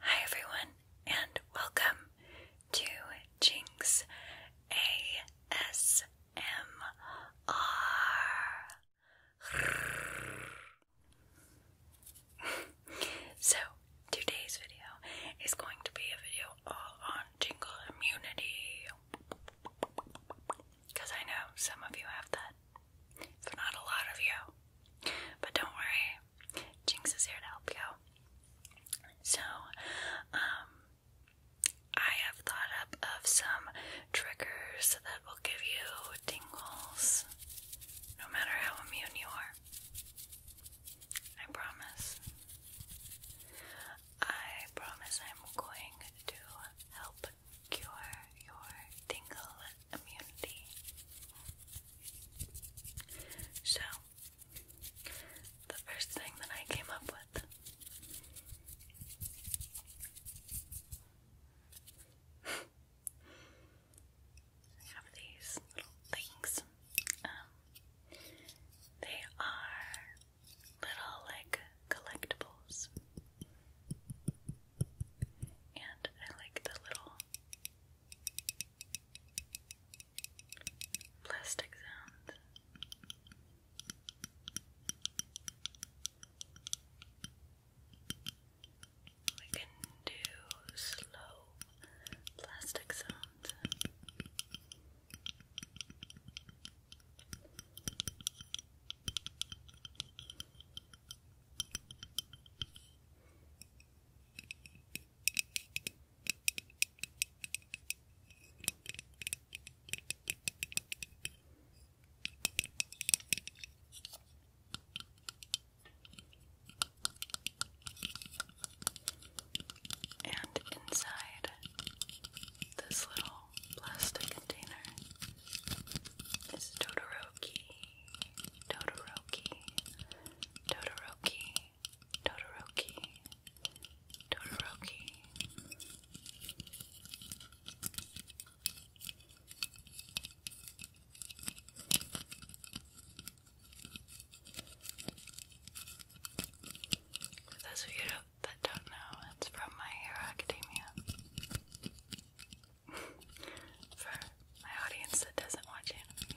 Hi, everyone, and welcome to Jinx ASMR. so, today's video is going to be a video all on jingle immunity. Because I know some of you have that, but not a lot of you. But don't worry, Jinx is here to help you. So, um, I have thought up of some triggers that will give you tingles no matter how immune you are. I promise. I promise I'm going to help help cure your tingle immunity. So, the first thing that I came up with have these little things. Um, they are little like collectibles. And I like the little plastic sounds. We can do slow plastic sounds. And inside this little plastic container. It's Todoroki, Todoroki, Todoroki, Todoroki, Todoroki. For those that don't know, it's from My Hero Academia. For my audience that doesn't watch it.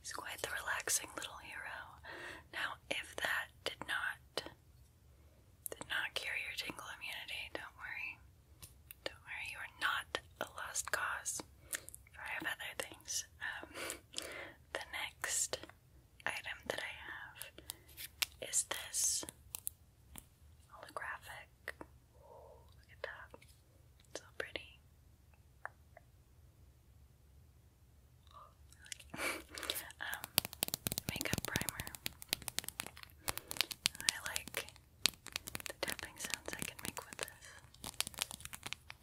He's quite the relaxing little hero. Now, if that did not did not cure your tingle immunity, don't worry. Don't worry, you are not a lost cause I have other things. Um, the next item that I have is this holographic. look at that. so pretty. um, makeup primer. I like the tapping sounds I can make with this.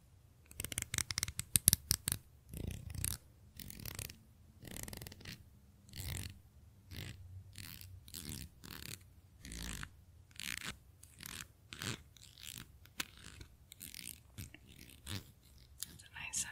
That's a nice sound.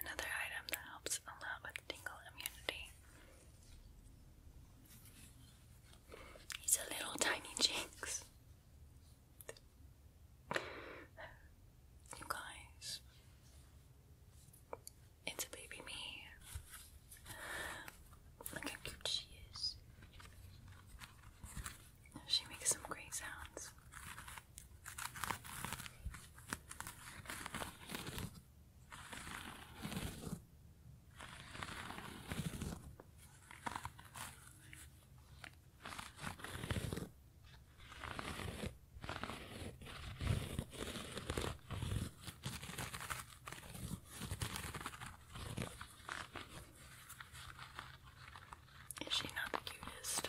Another item that helps a lot with tingle immunity. He's a little tiny jinx. You guys, it's a baby me. Look how cute she is. She makes some great sounds. Is she not the cutest?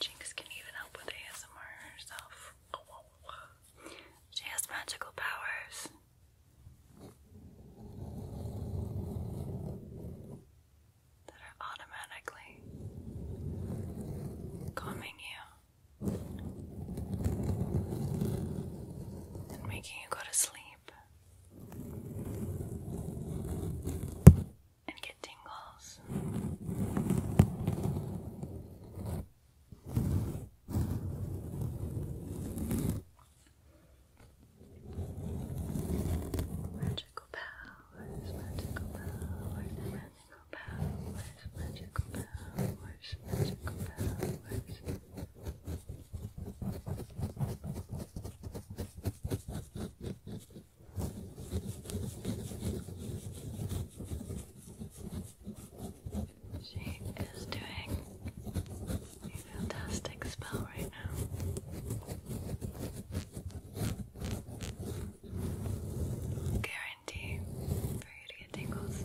Jinx can even help with ASMR herself. She has magical powers. That are automatically calming you and making you go to sleep and get tingles. Magical powers, magical powers, magical powers, magical powers, magical powers. She is doing a fantastic spell right now. Guarantee for you to get tingles.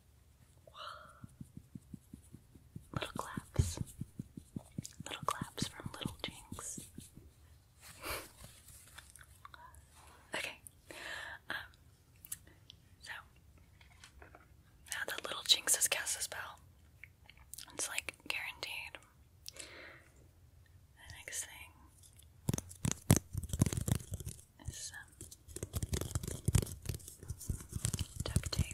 Little claps. Little claps from Little Jinx. okay. Um, so, now that Little Jinx has cast a spell, it's like guaranteed. next thing some duct tape.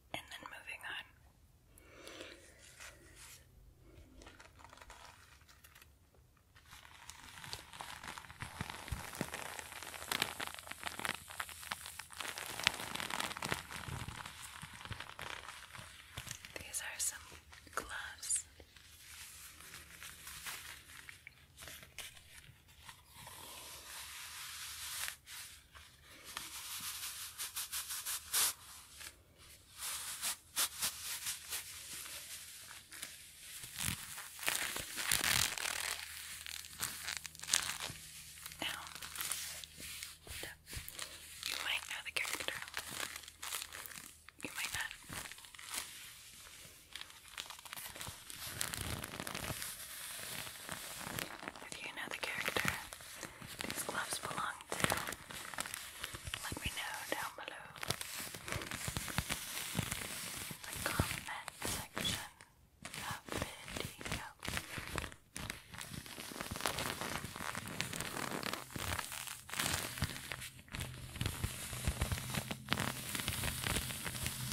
and then moving on. These are some gloves. Now, you might know the character. You might not. If you know the character these gloves belong to, let me know down below. The comment section of video.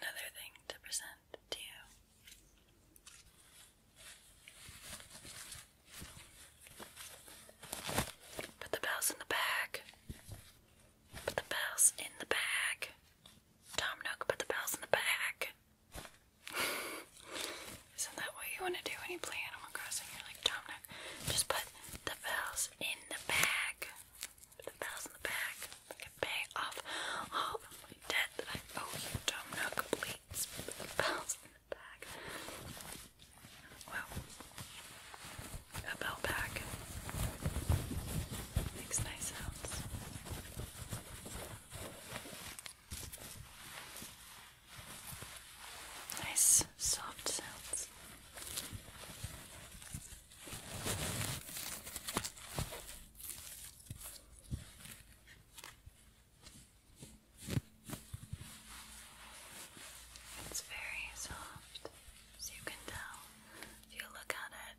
another thing to present to you. Put the bells in the bag. Put the bells in the bag. Tom Nook, put the bells in the bag. Isn't that what you want to do when you play Animal Crossing? You're like, Tom Nook, just put the bells in the bag the bells in the back. I can pay off all of my debt that I owe you. Domino completes the bells in the back. Well, a bell pack makes nice sounds. Nice soft sounds. It's very soft, as you can tell. If you look at it,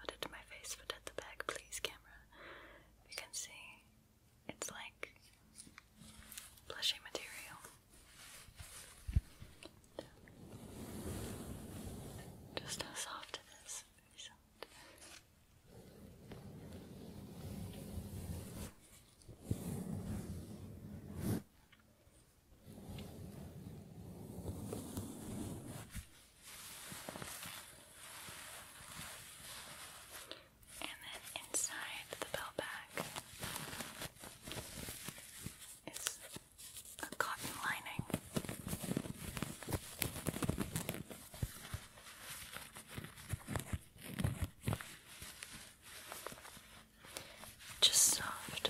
put it to my face, but at the back, please, camera. You can see it's like blushy material. Just how soft it is. Very soft. And then inside the bell bag, it's a cotton lining. Just soft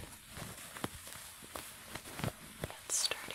and sturdy.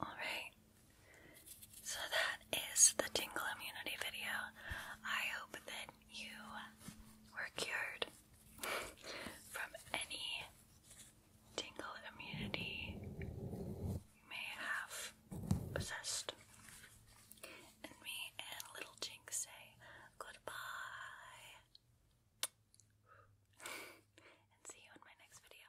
All right. So that is the tingle immunity video. I hope that you were cured from any tingle immunity you may have possessed. And me and Little Jinx say goodbye. and see you in my next video.